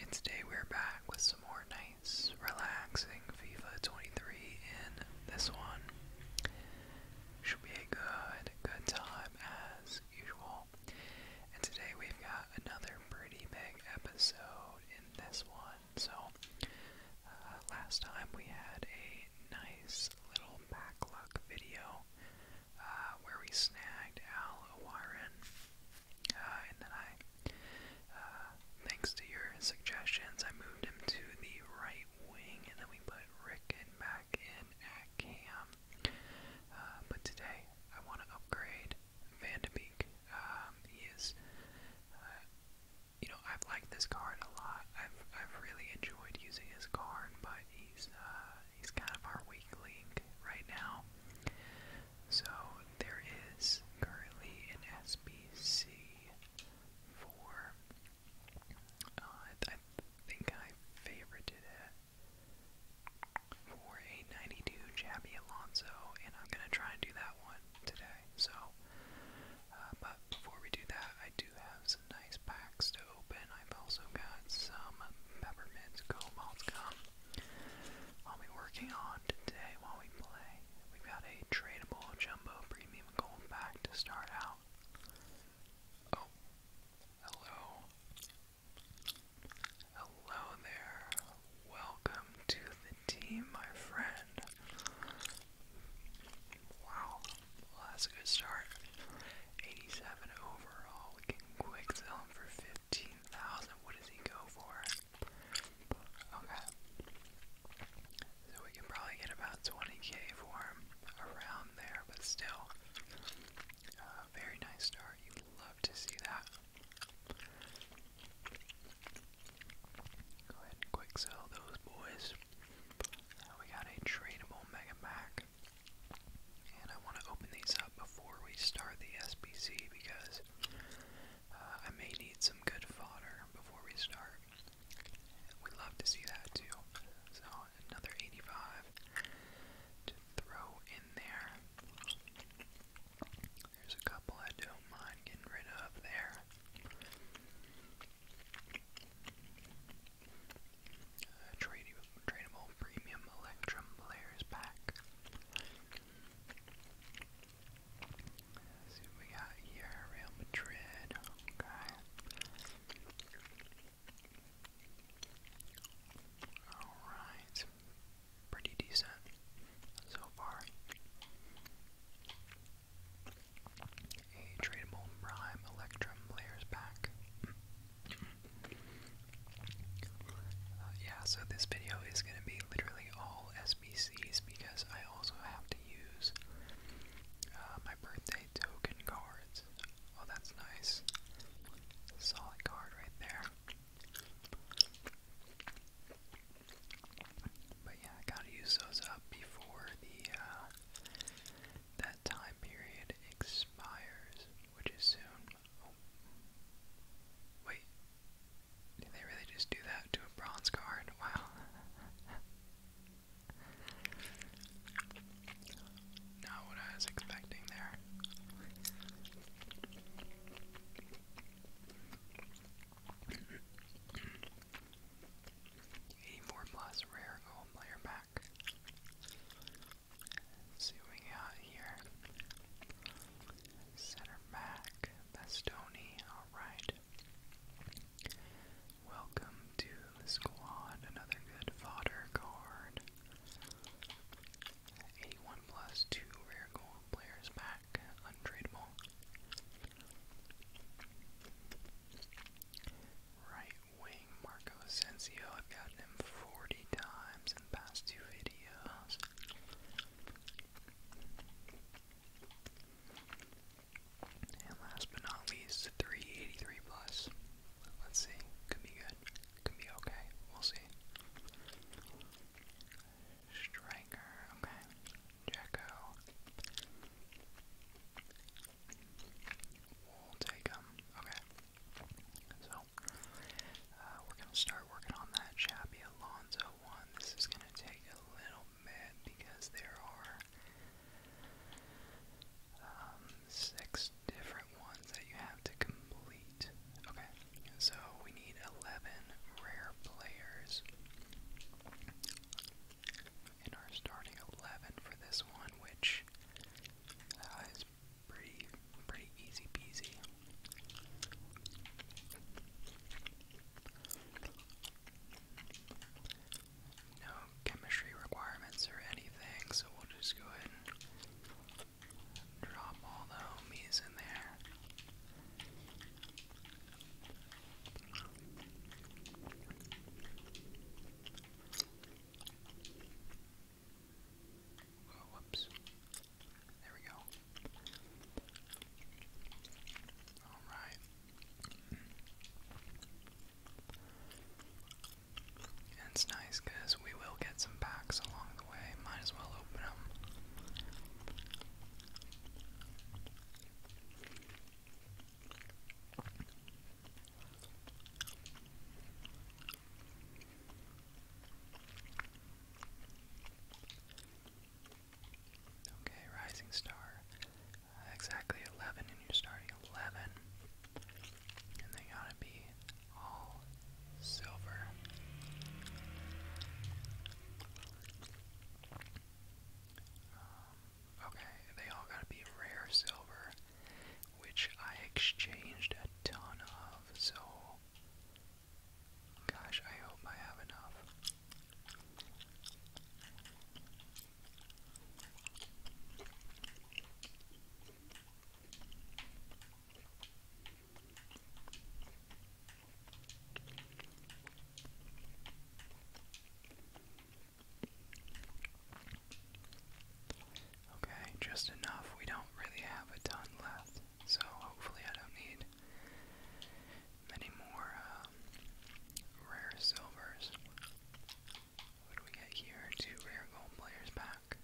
And today we're back with some more nice, relaxing FIFA 23 in this one. Should be a good, good time as usual. And today we've got another pretty big episode in this one. So, uh, last time we had a nice little backluck video uh, where we snagged Al Warren. Uh, and then I, uh, thanks to your suggestions, I moved him to the right wing, and then we put Rickon back in at Cam. Uh, but today, I want to upgrade Van de Beek. Um, he is, uh, you know, I've liked this card a lot. I've I've really enjoyed using his card, but he's uh, he's kind of our weak link right now. So there is currently an SBC for. Uh, I think I favorited it for a 92 Jabby Alonso, and I'm gonna try and do that one today. So, uh, but before we do that, I do have some nice packs to open. I've also got some peppermint go malt gum I'll be working on today while we play. We've got a tradable jumbo premium gold pack to start out. Oh, hello. Hello there. Welcome to the team, my friend. Wow, well, that's a good start. 87 overall. We quick sell him for fifteen thousand. What does he go for? Okay. So we can probably get about twenty K for him around there, but still. Uh, very nice start. You'd love to see that. Go ahead and quick sell those boys. Now we got a tradable Mega Mac. And I want to open these before we start the SPC, because uh, I may need some good fodder before we start. We'd love to see that too. So another 85 to throw in there. There's a couple I don't mind getting rid of there. Uh, tradable premium Electrum players pack. Let's see what we got here. Real Madrid. Okay. Alright. Pretty decent so far. A tradable Prime Electrum players pack. Uh, yeah, so this video is going to be literally all SBCs because I also have to use uh, my birthday token cards. Oh, that's nice. Solid card right there. But yeah, I gotta use those up before the uh, that time period expires, which is soon. Oh. Wait. Did they really just do that to a bronze card? Wow. Not what I was expecting there. Eighty-four plus rare gold player pack see what we got here. Center back, Bastoni, alright. Welcome to the squad, another good fodder card. 81 plus 2 rare gold players back, untradeable. Right wing Marco Asensio, I've gotten him 40 times in the past two videos videos. And last but not least, 383 plus. Let's see. Could be good. Could be okay. We'll see. Striker, okay. Jacko. We'll take him. Okay. So uh, we're gonna start working on that Chappie Alonso one. This is gonna take a little bit because there are um, six different ones that you have to complete. Okay, so we need eleven rare players in our starting eleven for this one, which uh, is Pretty, pretty easy peasy. No chemistry requirements or anything, so we'll just go ahead and drop all the homies in there. Oh, whoops. There we go. Alright. And it's nice because we will get some packs along the way. Might as well open them. Okay, Rising Star. exactly 11, and you're starting 11. And they gotta be all silver. Um, okay, they all gotta be rare silver, which I exchanged a ton of, so Gosh, I hope I have enough. Okay, just enough. We don't really have a ton left so hopefully I don't need many more um, rare silvers. What do we get here? Two rare gold players back.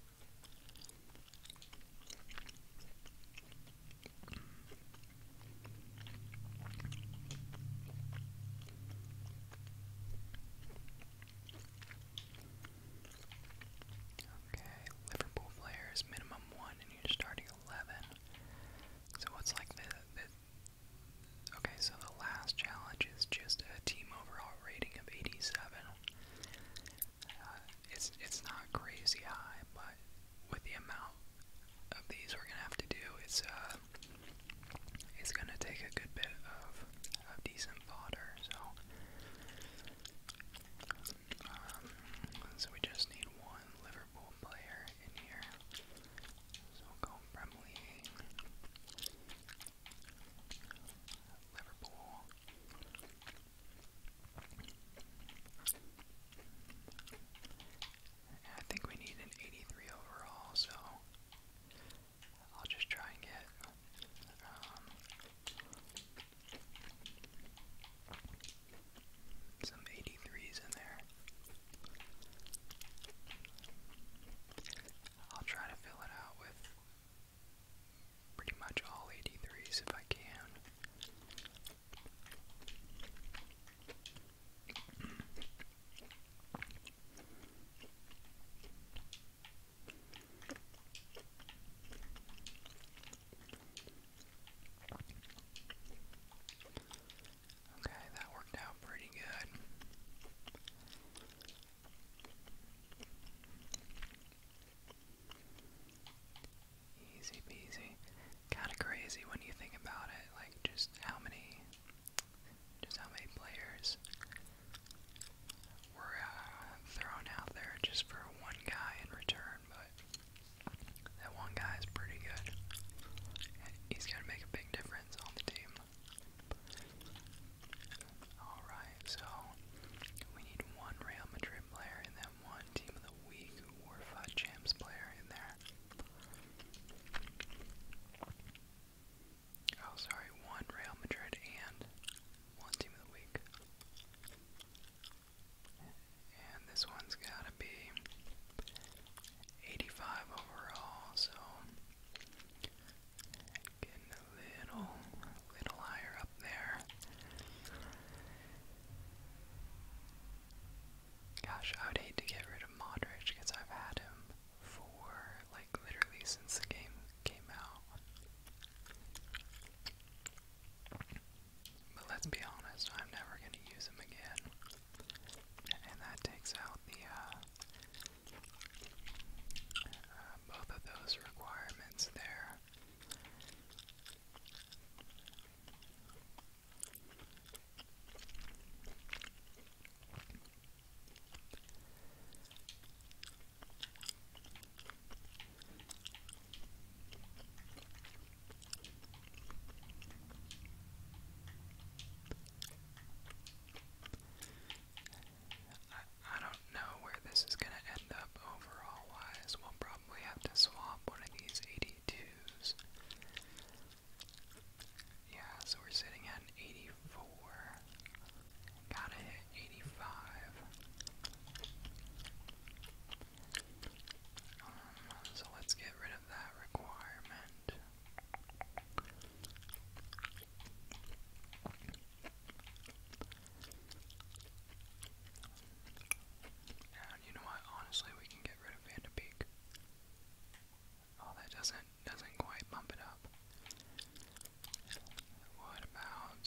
Okay, Liverpool players, minimum one and you starting 11. So what's like the, okay? So the last challenge is just a team overall rating of 87. Uh, it's it's not crazy high, but with the amount of these we're gonna have to do, it's uh, it's gonna take a good bit of of decent fodder. So so we just need one Liverpool player in here. So go Bremley, Liverpool. And I think we need an 83 overall, so I'll just try and get um, some 83s in there. I'll try to fill it out with pretty much all 83s if I can. Okay, that worked out pretty good. Easy peasy. Kinda crazy when you think about it, like just how many just how many players were uh, thrown out there just for one guy in return but that one guy is pretty good. he's going to make a big difference on the team. Alright, so we need one Real Madrid player and then one Team of the Week Warfa Champs player in there. Oh, sorry, one Real Madrid and one Team of the Week. And this one's got to be 85 overall, so getting a little, little higher up there. Gosh, I would hate to get rid of Modric because I've had him for like literally since the game came out. But let's be honest, I'm never going to use them again. And that takes out the, uh, uh, both of those requirements there. I, don't know where this is going to end up overall wise. We'll probably have to swap one of these 82s. Yeah, so we're sitting at 84. Gotta hit 85 so let's get rid of that requirement. And you know what? Honestly, we can get rid of Van de Beek. Oh, that doesn't doesn't quite bump it up. What about?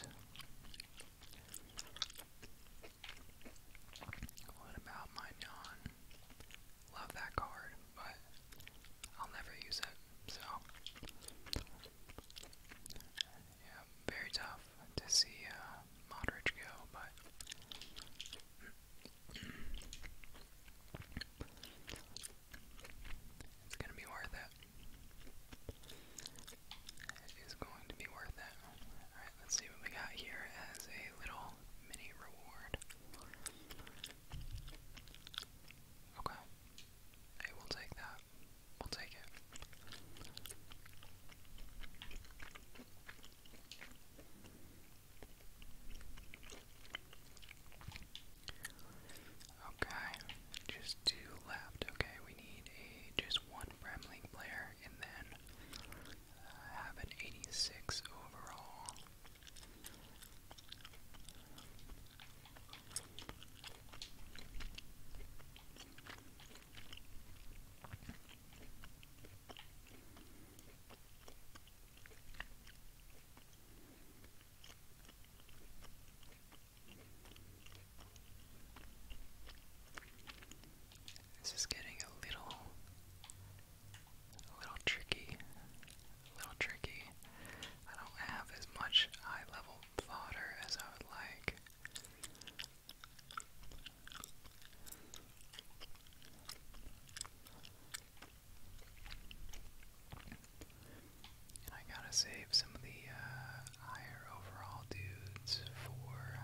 What about my non? Love that card, but I'll never use it, so. Yeah, very tough to see uh, Modric go, but. It's gonna be worth it. It is going to be worth it. Let's see what we got here as a little mini reward. Okay. we'll take that. We'll take it. Okay, just two left. Okay, we need a just one Bremling player and then have an 86 overall. This is getting a little a little tricky. A little tricky. I don't have as much high level fodder as I would like. And I gotta save some of the uh, higher overall dudes for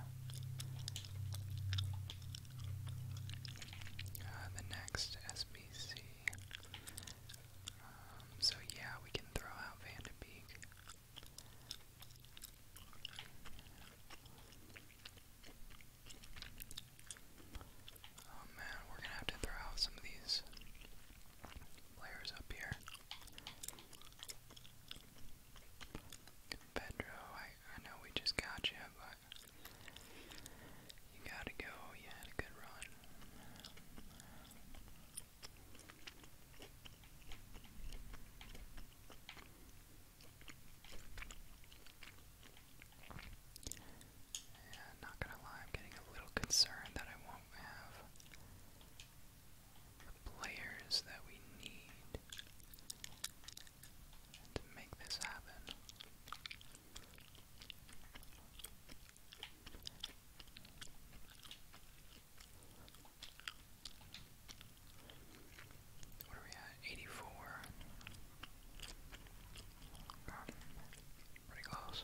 uh, the next SBC. Um, so yeah, we can throw out Van Oh man, we're gonna have to throw out some of these players up here. Pedro, I, I know we just got you, but you gotta go. You had a good run. Yeah, not gonna lie, I'm getting a little concerned that I won't have the players that we need to make this happen. What are we at? 84. pretty close.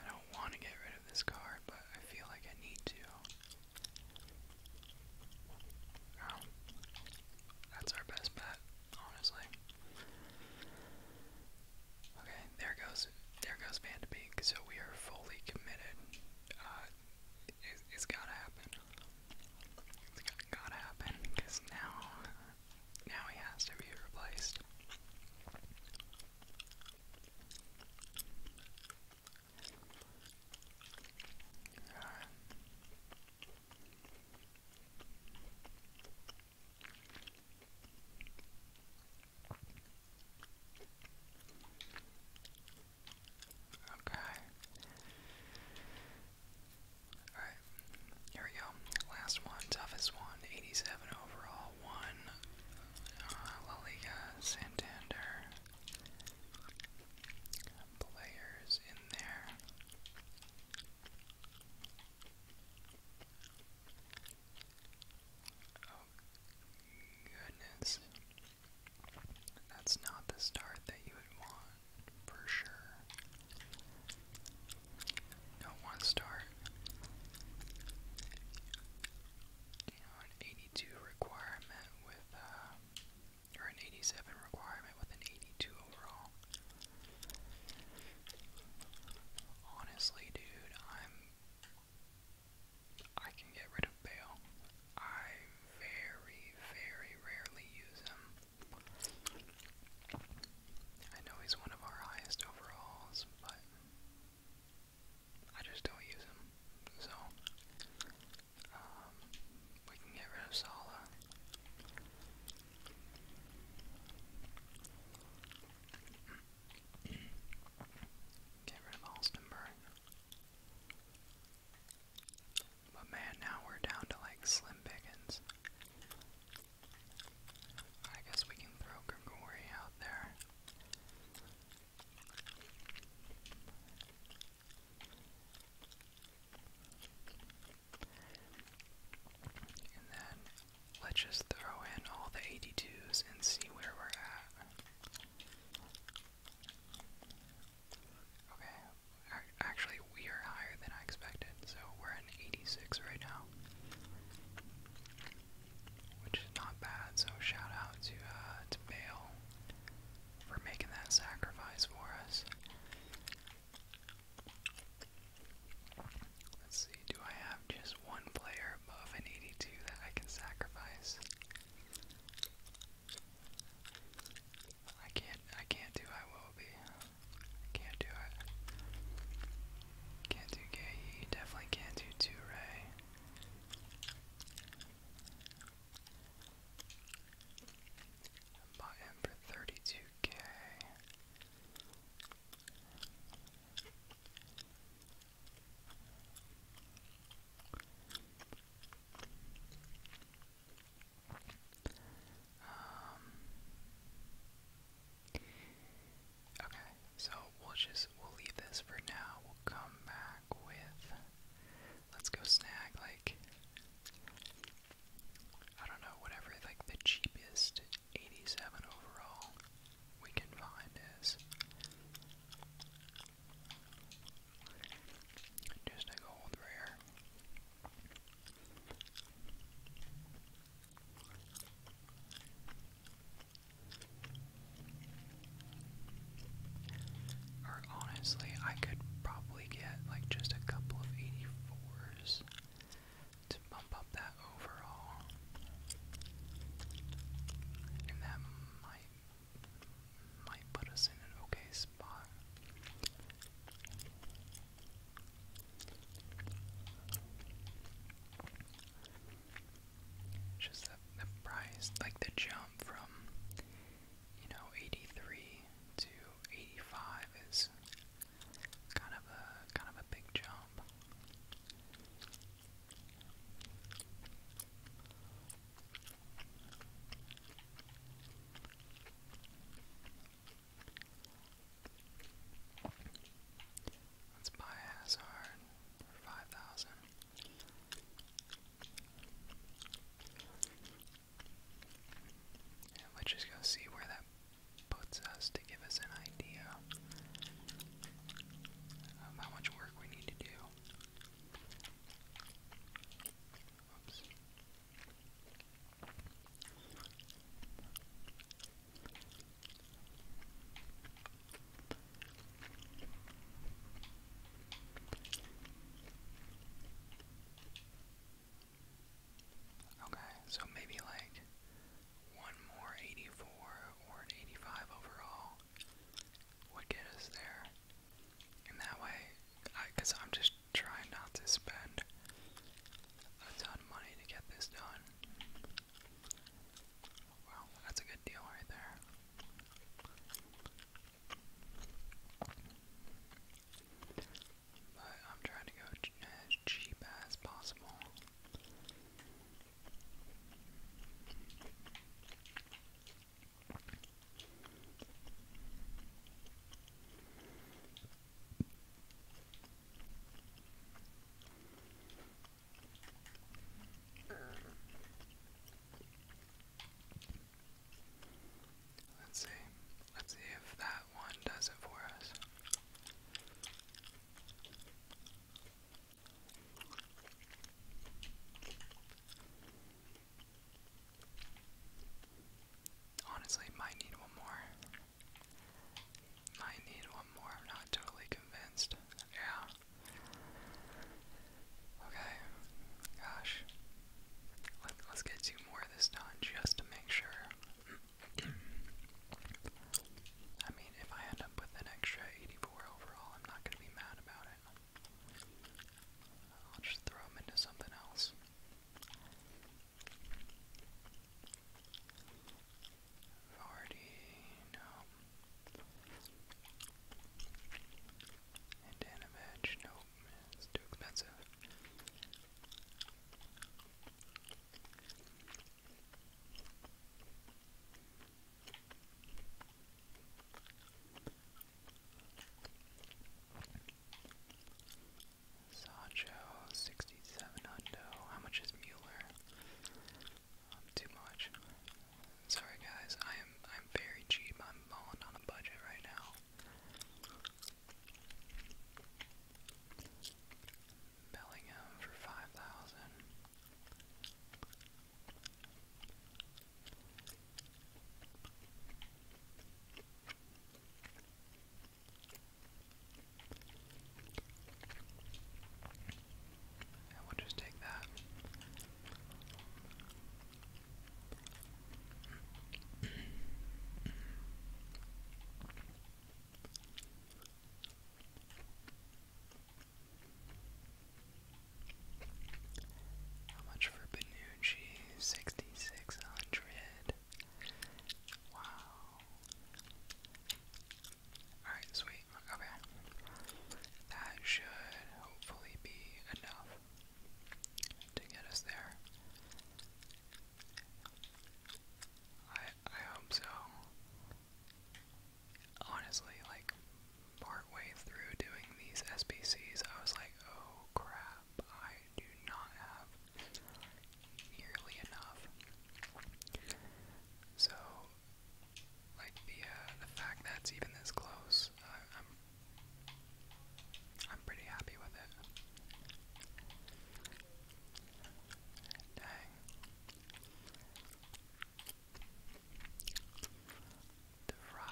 I don't want to get rid of this card, but I feel like I need to. Um, that's our best bet, honestly. Okay, there goes there goes Van de So we are fully committed. Uh, it, has gotta happen. It's gotta happen because now now he has to be replaced. Okay. Alright, here we go. Last one, toughest one, 87 overall, one uh, La Liga, Santander players in there. Oh goodness. That's not the start that you would want, for sure. Don't want to start. You know, an 80 82 requirement with, uh, or an 87 requirement with an 82 overall. Honestly, dude, I'm. I can get rid of Bale. I very, very rarely use him. I know he's one of our highest overalls, but I just don't use them, So, um, we can get rid of Sala. get rid of Alstenberg. But man, now we're down to like slim pickings. I guess we can throw Gregory out there. And then let's just throw in all the 82s and see where we're at. Okay, actually, we are higher than I expected, so we're at 86 right now which is not bad. So shout out to uh, to Bale for making that sacrifice for us. Let's see, do I have just one player above an 82 that I can sacrifice? I can't, I can't do I will be. can't do it. Can't do Gaye, definitely can't do two I him for thirty two K. Um, okay, so we'll just we'll leave this for now. We'll come back with let's go snag like I don't know, whatever like the cheapest 87 overall we can find is. Just a gold rare. Or honestly, I could probably get like just a couple of 84s to bump up that overall. And that might might put us in an okay spot just the, price, like the jump from, you know, 83 to 85 is kind of a, kind of a big jump. Let's buy Hazard for five thousand let's just go see where that puts us to give us an idea of how much work we need to do. Okay, so maybe like one more 84 or an 85 overall would get us there. And that way, because I'm just trying not to spend a ton money to get this done. Wow, that's a good deal right there. But I'm trying to go uh, cheap as possible. Let's see. Let's see if that one does it for us. Honestly, might need one more. Might need one more. I'm not totally convinced. Yeah. Okay, gosh. Let, let's get two more this time just to make sure. I mean, if I end up with an extra 84 overall, I'm not going to be mad about it. I'll just throw them into something else. Vardy, no. And Animage, it's too expensive. Sancho, 67 How much is Mueller? Um, too much. Sorry guys, I am I'm very cheap. I'm balling on a budget right now. Bellingham for five thousand. we'll just take that. How much for Benucci? Sixty six hundred. Wow. Alright, sweet. Okay that should hopefully be enough to get us there. I I hope so. Honestly, like partway through doing these SBCs, I was like, oh crap, I do not have nearly enough. So, like the the fact that it's even this close, I'm I'm pretty happy with it. Dang. The fry.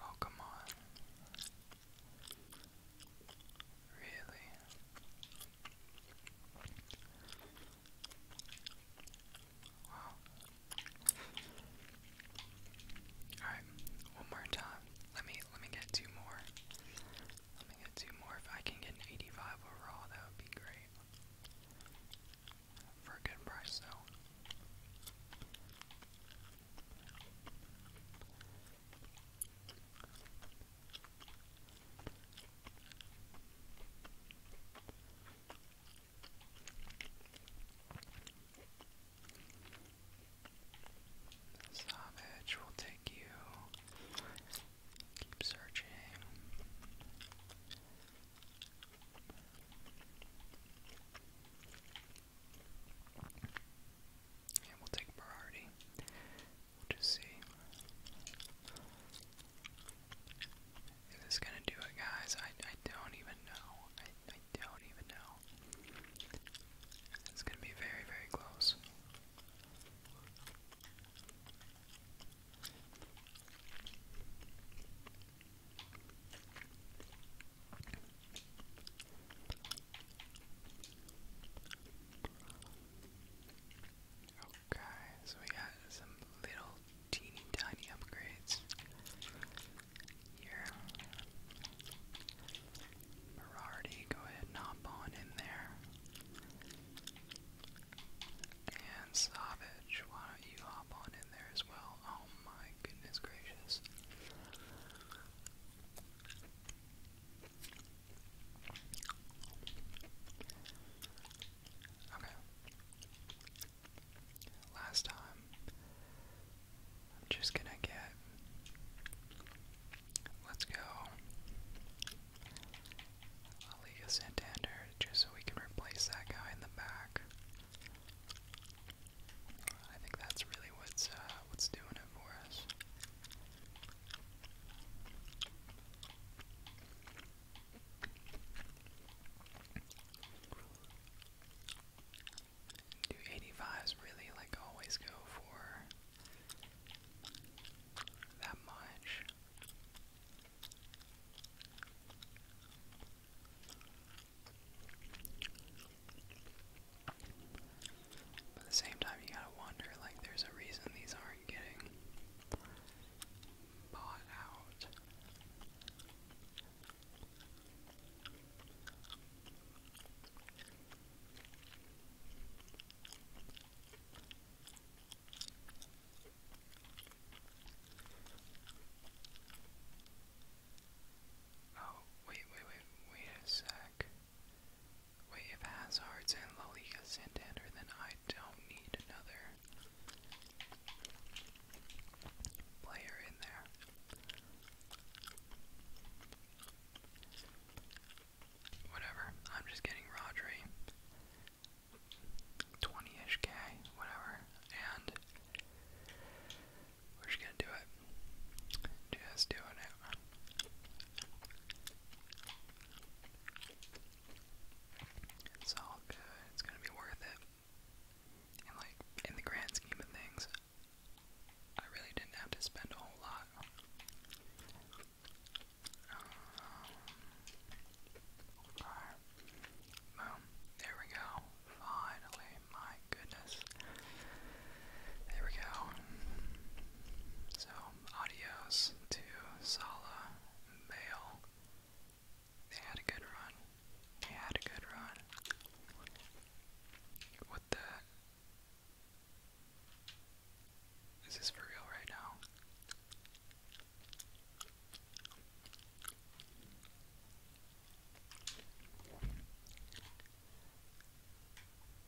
Oh, come on. Really? Wow. Alright, one more time. Let me let me get two more. Let me get two more. If I can get an 85 overall, that would be great. For a good price though. Savage will take you. Keep searching. And we'll take Berardi. we see. Is this gonna do it, guys? I, I don't even know. I, I don't even know. It's gonna be very, very close. Okay, so we got some little teeny tiny upgrades here. Berardi, go ahead hop on in there. And Savage, why don't you hop on in there as well? Oh my goodness gracious. Okay last time. I'm just gonna get. Let's go. Liga Santander, just so we can replace that guy in the back. I think that's really what's uh, what's doing it for us. Do 85s really like always go for that much? But at the same time, you gotta wonder like, there's a reason these aren't getting bought out. Oh, wait, wait, wait, wait a sec. Wait, if Hazard's in La Liga Santander, then I don't need another player in there. Whatever, I'm just getting Rodri. 20-ish K, whatever, and we're just gonna do it. Just doing it. It's all good. It's gonna be worth it. And like in the grand scheme of things, I really didn't have to spend a whole lot. Um, there we go. Finally. My goodness. There we go. So, adios to Sala, Bale, they had a good run. They had a good run. What the? Is this for real right now?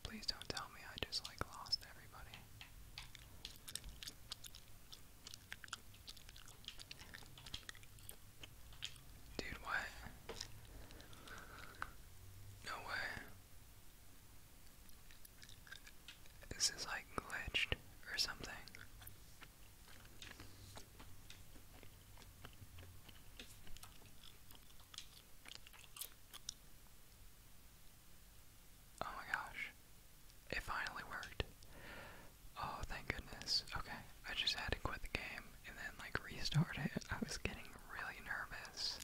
Please don't tell me I just like lost everybody. Dude, what? No way. This is like glitched or something. Oh my gosh. It finally worked. Oh, thank goodness. Okay, I just had to quit the game and then, like, restart it. I was getting really nervous.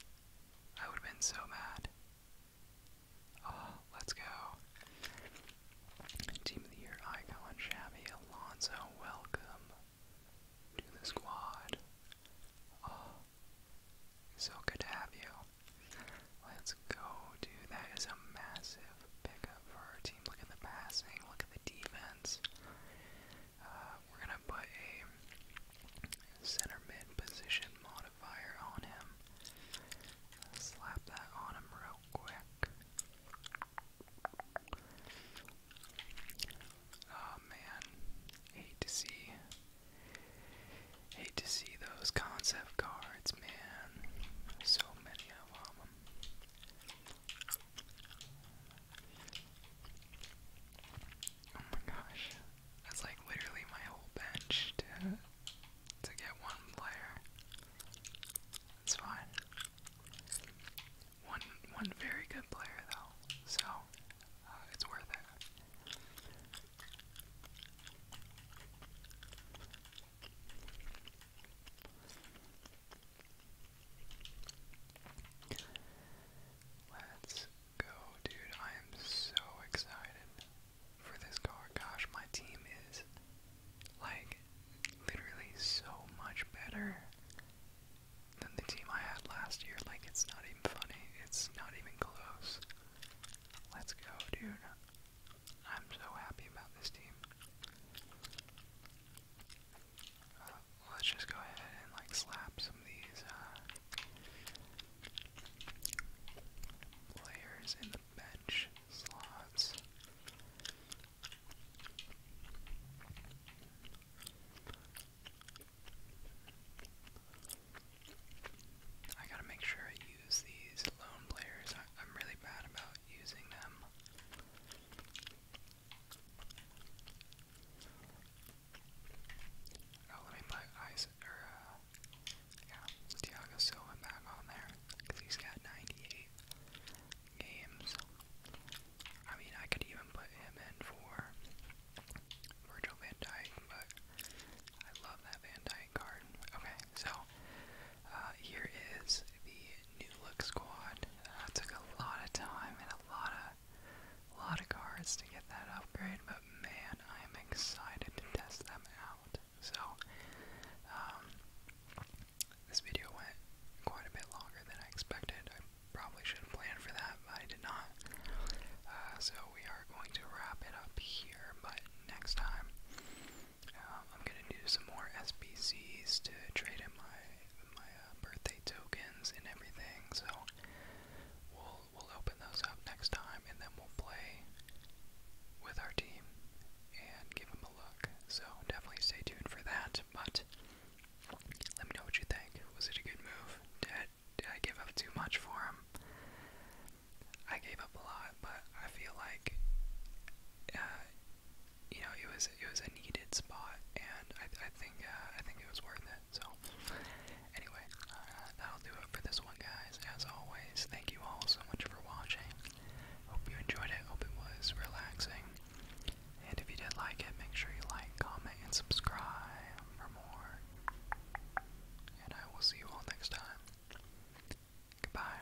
I would have been so mad. Oh, let's go. Team of the Year icon, Shabby Alonso, welcome to the squad. Oh, so good to have you. Let's go, dude. That is a massive massive pickup for our team. Look at the passing. Look at the defense. Uh, we're gonna put a center mid position modifier on him. Slap that on him real quick. Oh man, hate to see, hate to see those concept cards, man. So many of them. Oh my gosh. That's like literally my whole bench to to get one player. That's fine. One one very good player though, so uh, it's worth it. Let's go, dude. I am so excited for this car. Gosh, my team is like literally so much better than the team I had last year. Like, it's not even funny, it's not even close. Let's go, dude. I'm so happy about this team let's just go ahead and like slap some of these uh, in the bench slots. I gotta make sure I use these lone players. I'm really bad about using them. Oh, let me put uh, yeah, Thiago Silva back on there, because he's got 98 games. I mean, I could even put him in for Virgil van Dijk, but I love that van Dyke card. Okay, so uh, here is the new look squad. Uh, took a lot of time and a lot of, lot of cards to get that upgrade, but man, I am excited to test them out. So, um, this video went quite a bit longer than I expected. I probably should have planned for that, but I did not. Uh, so we are going to wrap it up here, but next time um, I'm going to do some more SBCs to trade in my my uh, birthday tokens and everything. So we'll we'll open those up next time, and then we'll play with our team and give them a look. So definitely stay tuned for that. But let me know what you think. Was it a good move? Did I give up too much for him? I gave up a lot, but I feel like uh, you know, it was it was a needed spot, and I I think uh, I think it was worth it. So anyway, uh, that'll do it for this one, guys. As always, thank you all so much for watching. Hope you enjoyed it. Hope it was relaxing. And if you did like it, make sure you like, comment, and subscribe for more. And I will see you all next time. Goodbye.